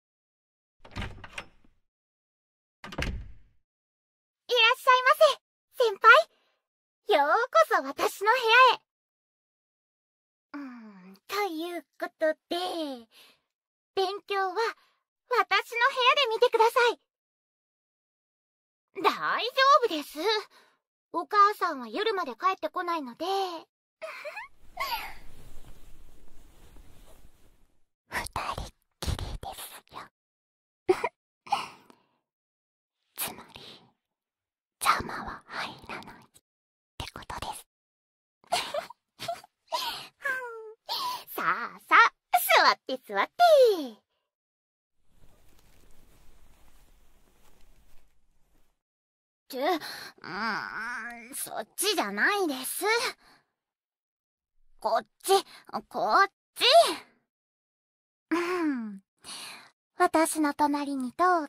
いらっしゃいませ、先輩。ようこそ私の部屋へ。うん、ということで、勉強は私の部屋で見てください。大丈夫です。お母さんは夜まで帰ってこないので、二人っきりですよふふつまり邪魔は入らないってことですふふさあさあ座って座ってってうんそっちじゃないですこっち、こっち。うん。私の隣にどうぞ、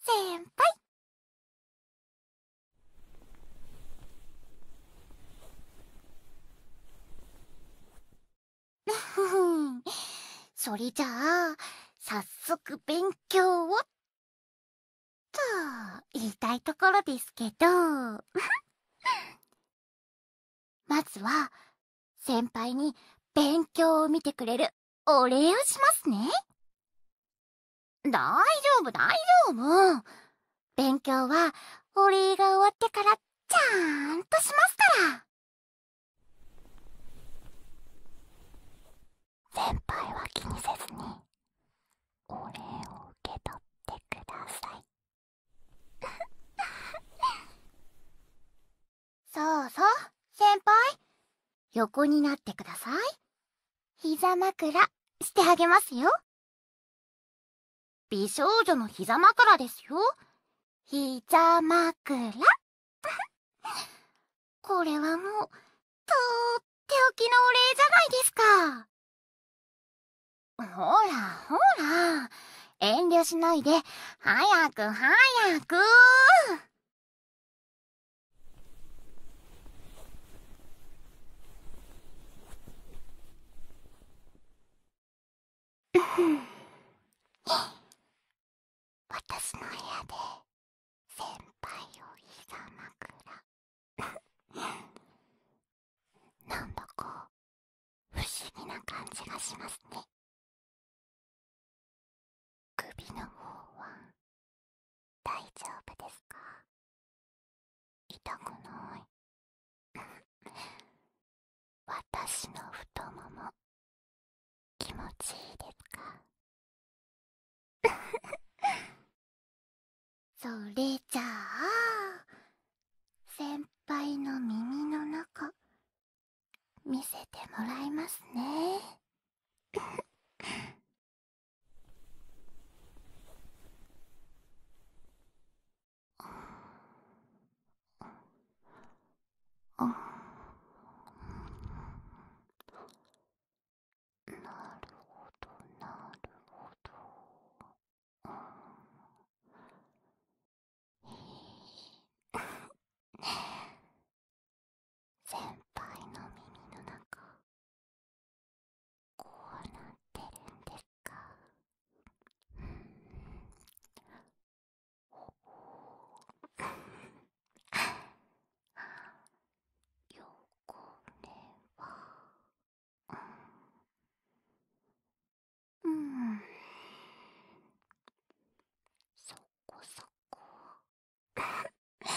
先輩。それじゃあ、さっ早速勉強をっと言いたいところですけど まずは先輩に勉強を見てくれるお礼をしますね大丈夫大丈夫勉強はお礼が終わってからちゃんとしますから先輩は気にせずにお礼を受け取ってください そうそう先輩横になってください膝枕してあげますよ美少女の膝枕ですよ膝枕 これはもうとっておきのお礼じゃないですか。ほらほら、遠慮しないで、早く早く 私の部屋で先輩をひざ枕なんだか不思議な感じがしますね首の方は大丈夫ですか痛くない私の太もも気持ちいいですか それじゃあ先輩の耳の中見せてもらいますねあ なるほどなるほどうんいねえ先輩の耳の中こうなってるんですかうんおおよこれはうんそこそこ やり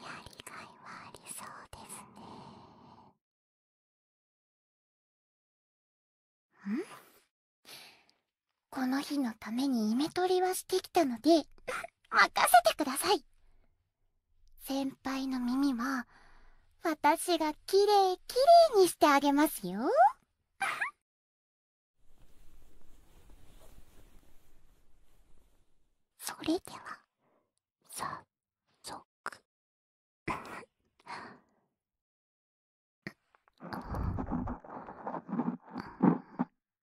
がいはありそうですねんこの日のためにイメ取りはしてきたので任せてください先輩の耳は私がきれいきれいにしてあげますよそれでは早速あ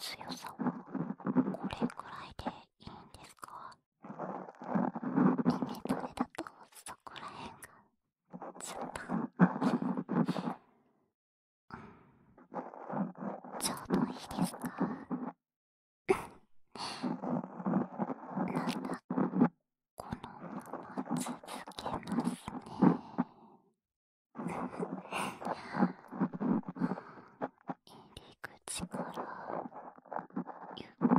強さはこれくらいでいいんですか君とれだとそこらへんがちょっとちょうどいいですかなんだこのまま続けますね入り口からゆっくり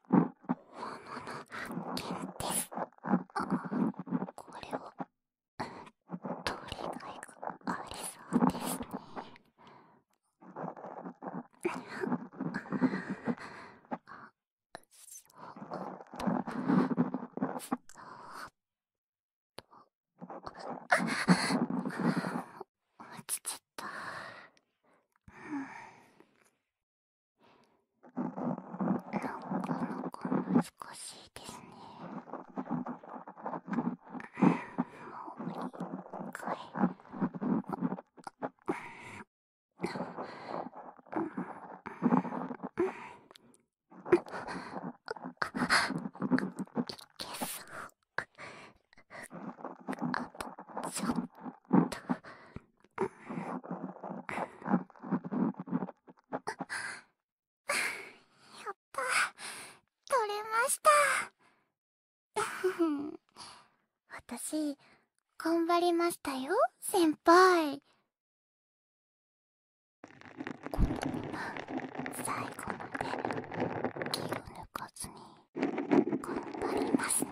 もの物発見ですあこれを取りがいがありそうですねあそうかそう落ちちゃった。なかなか難しいですね。もう一回。あとちょっと。あ、った取れました 私頑張りましたよ先輩このまま最後まで気を抜かずに頑張りますね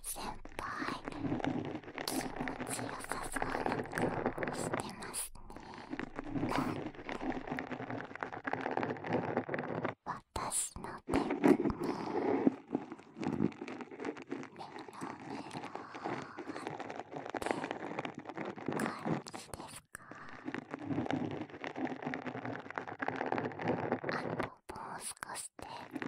先輩気持ちよさそうなしてますね私のテクニメロメって感じですかあともう少しで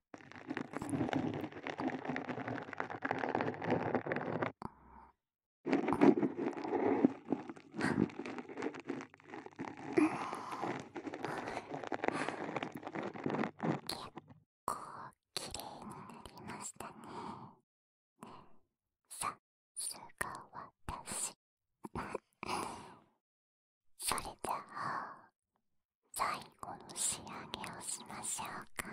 構きれになりましたねさあすが私それじゃあ最後の仕上げをしましょうか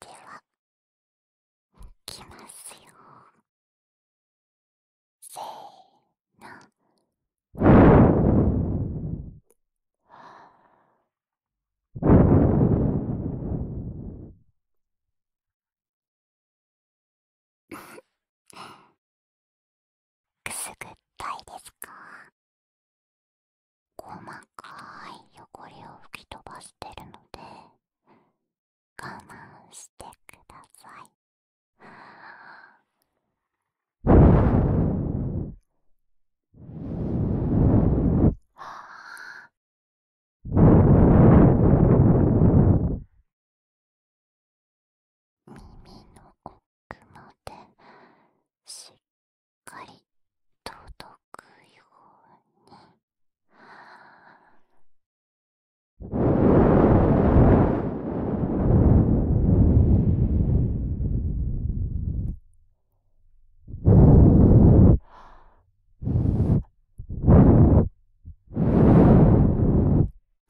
ではいきますよせーのくすぐったいですか細かい汚れを吹き飛ばしてるので我慢してください。は耳の奥までしっかり届くように。は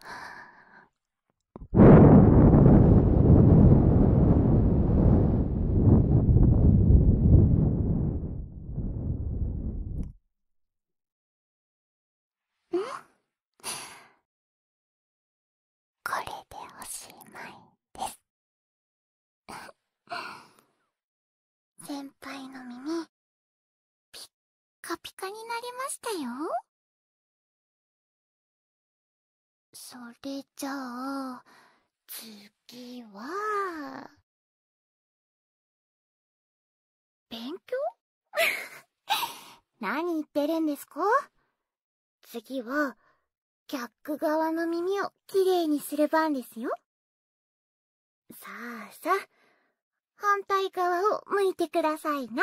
はこれでおしまいです先輩の耳ぴッカピカになりましたよそれじゃあ次は勉強 何言ってるんですか次は客側の耳をきれいにする番ですよさあさあ反対側を向いてくださいな。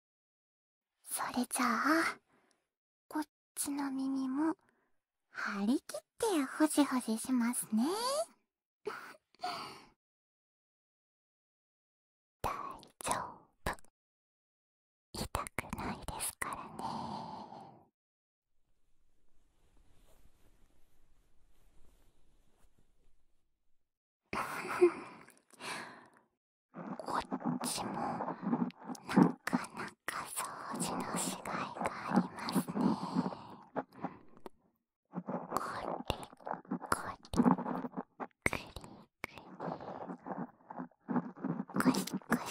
それじゃあこっちの耳も張り切ってほじほじしますね 大丈夫痛くないですからね こっちもなかなか掃除のしがいがありますねこれこれくりくりこしこし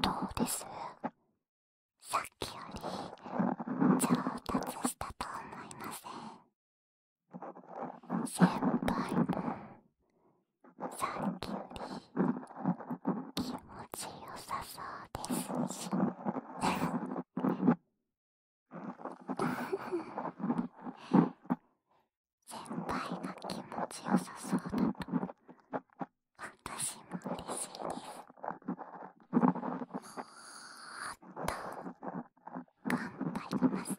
どうですさっきより上達したと思いません先輩も、さっきより気持ちよさそうですし先輩が気持ちよさそうだと私も嬉しいですもっと頑張りますね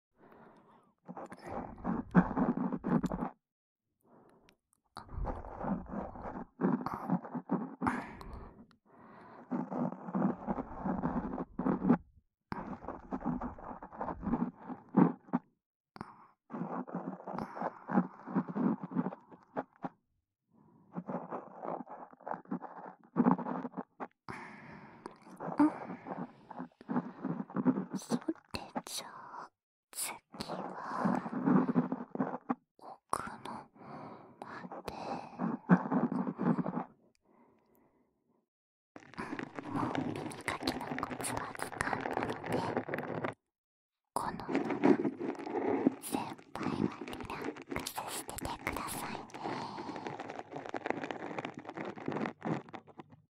それじゃあ次は奥のまでもう耳かきのコツはつかんだのでこのまま先輩はリラックスしててくださいね。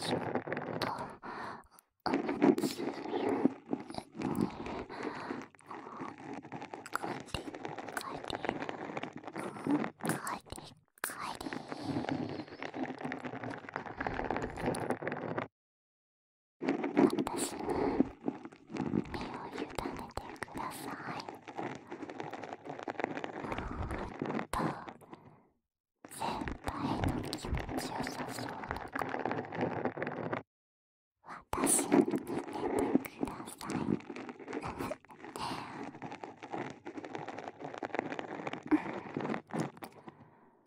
ちょっとおむつに帰り帰り帰り帰り。た私に身を委ねてくださいもっと先輩の気持ちよさそうな私に似ててくださいうん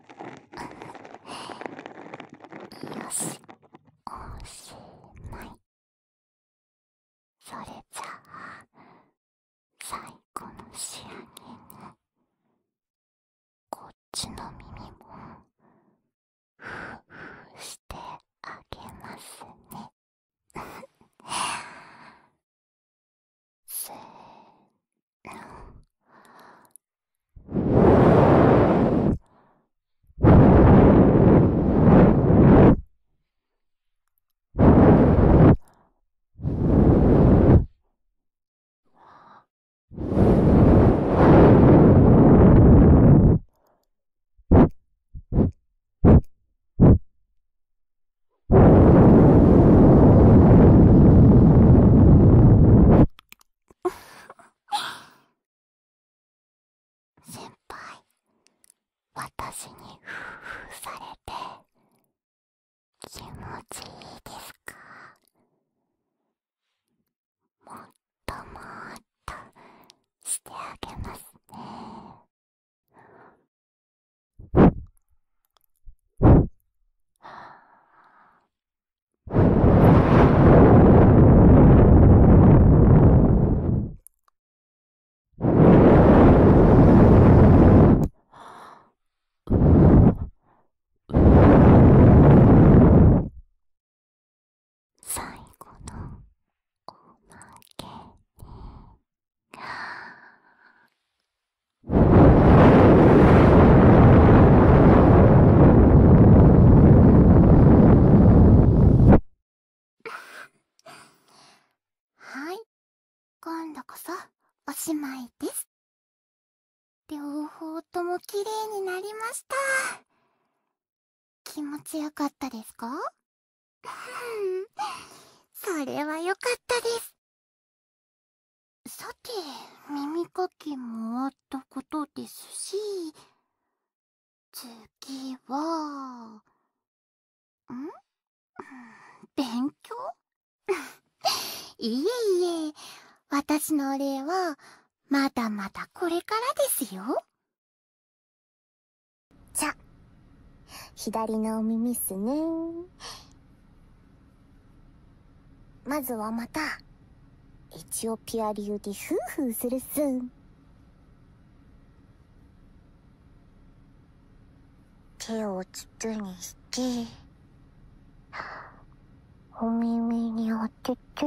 よしおしまいそれじゃあ最後の仕上げにこっちの耳もふーふーしてあげますねせーの先輩私にふーふーされて気持ちいいですかもっともっとしてあげますねは最後のおまけに。はい今度こそおしまいです両方とも綺麗になりました気持ちよかったですかそれはよかったですさて耳かきもあったことですし次はん 勉強 いえいえ私のお礼はまだまだこれからですよじゃ左のお耳っすねまずはまたエチオピア流でフーフーするっす手を筒にしてお耳に当てて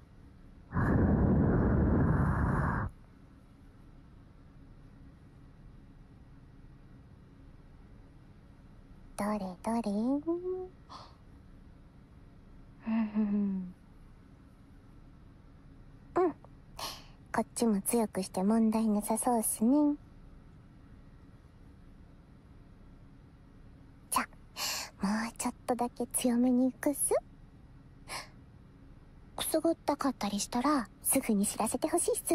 どれどれうんこっちも強くして問題なさそうっすねじゃもうちょっとだけ強めにいくすくすぐったかったりしたらすぐに知らせてほしいっす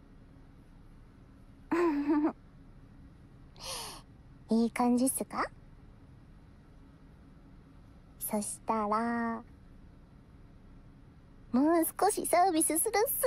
いい感じっすかそしたら、もう少しサービスするっす。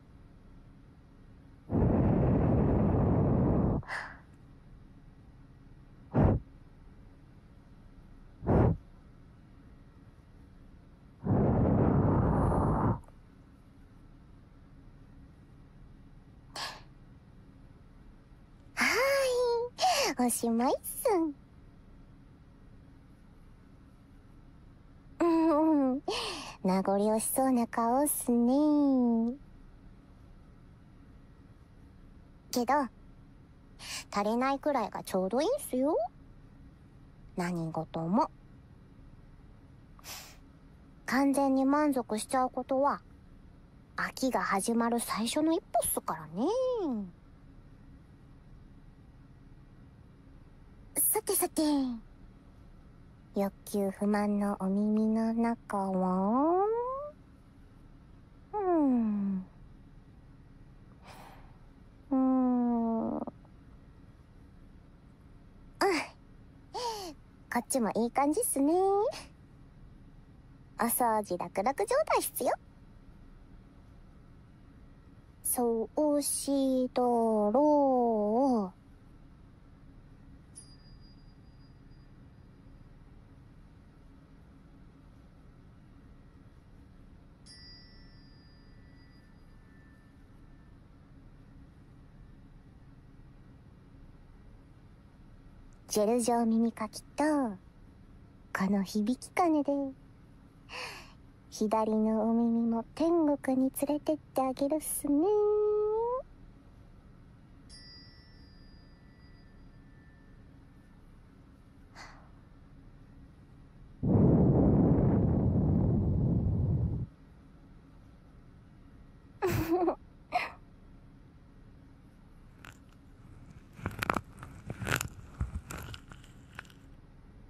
はい、おしまいっすうんうん。名残惜しそうな顔っすね。けど、足りないくらいがちょうどいいんすよ。何事も。完全に満足しちゃうことは、秋が始まる最初の一歩っすからね。さてさて。欲求不満のお耳の中はうん。うん。あ、こっちもいい感じっすね。お掃除楽々状態っすよ。そうしどろジェル状耳かきと、この響きかねで、左のお耳も天国に連れてってあげるっすね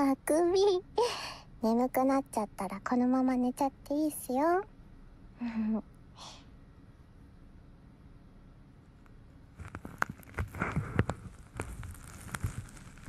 あくび眠くなっちゃったらこのまま寝ちゃっていいっすよ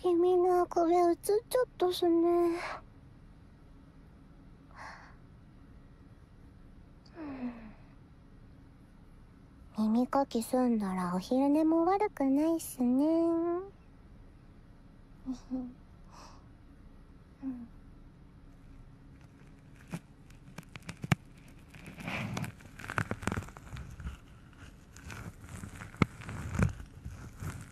君のこれ映っちゃったすね。耳かき済んだらお昼寝も悪くないっすねうん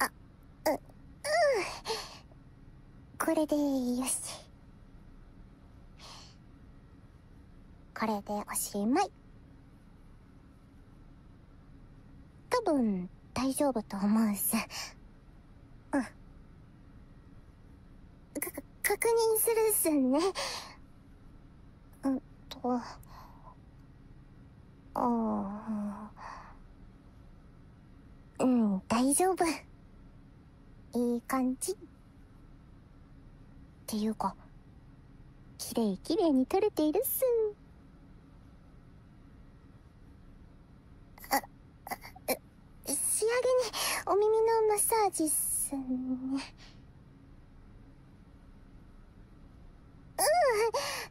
あううんこれでよしこれでおしまい多分大丈夫と思うしうんか確認するっすねうんとああうん大丈夫いい感じっていうかきれいきれいに撮れているっすあ仕上げにお耳のマッサージっすね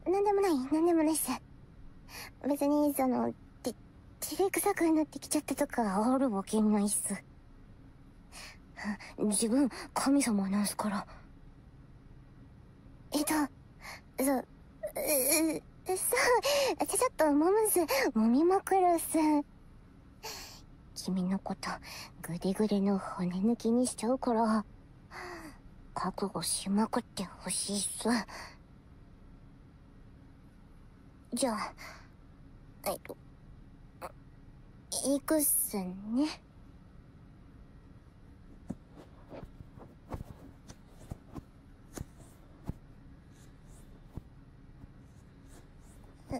うう、ん何でもない何でもないっす別にそのて照れくさくなってきちゃったとかあるわけないっす自分神様なんすからえっとそう、そうちょっともむすもみまくるっす君のことグデグデの骨抜きにしちゃうから覚悟しまくってほしいっすじゃあえっと行くっすねえ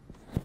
おい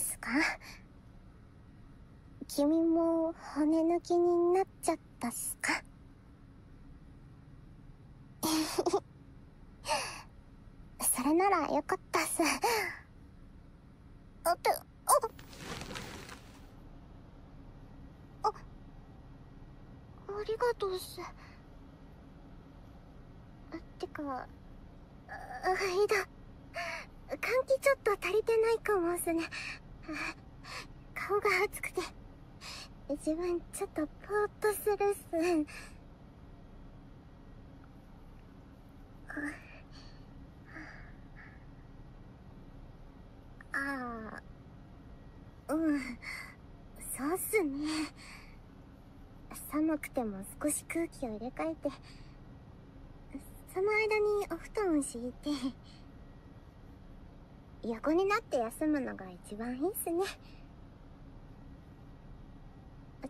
すか君も骨抜きになっちゃったっすか それならよかったっす。あって、ああありがとうっす。ってか、いだ換気ちょっと足りてないかもすね顔が熱くて自分ちょっとぼーっとするっすああうんそうっすね寒くても少し空気を入れ替えてその間にお布団を敷いて 横になって休むのが一番いいっすね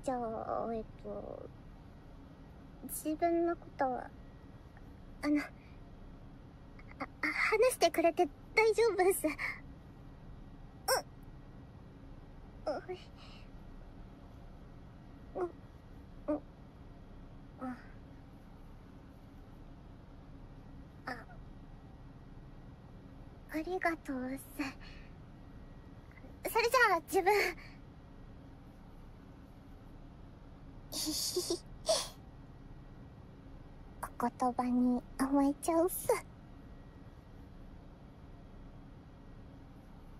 じゃあえっと自分のことはあのあ話してくれて大丈夫っすうっおいおうん。ああ。りがとうっすそれじゃあ自分ひひひお言葉に甘えちゃうっす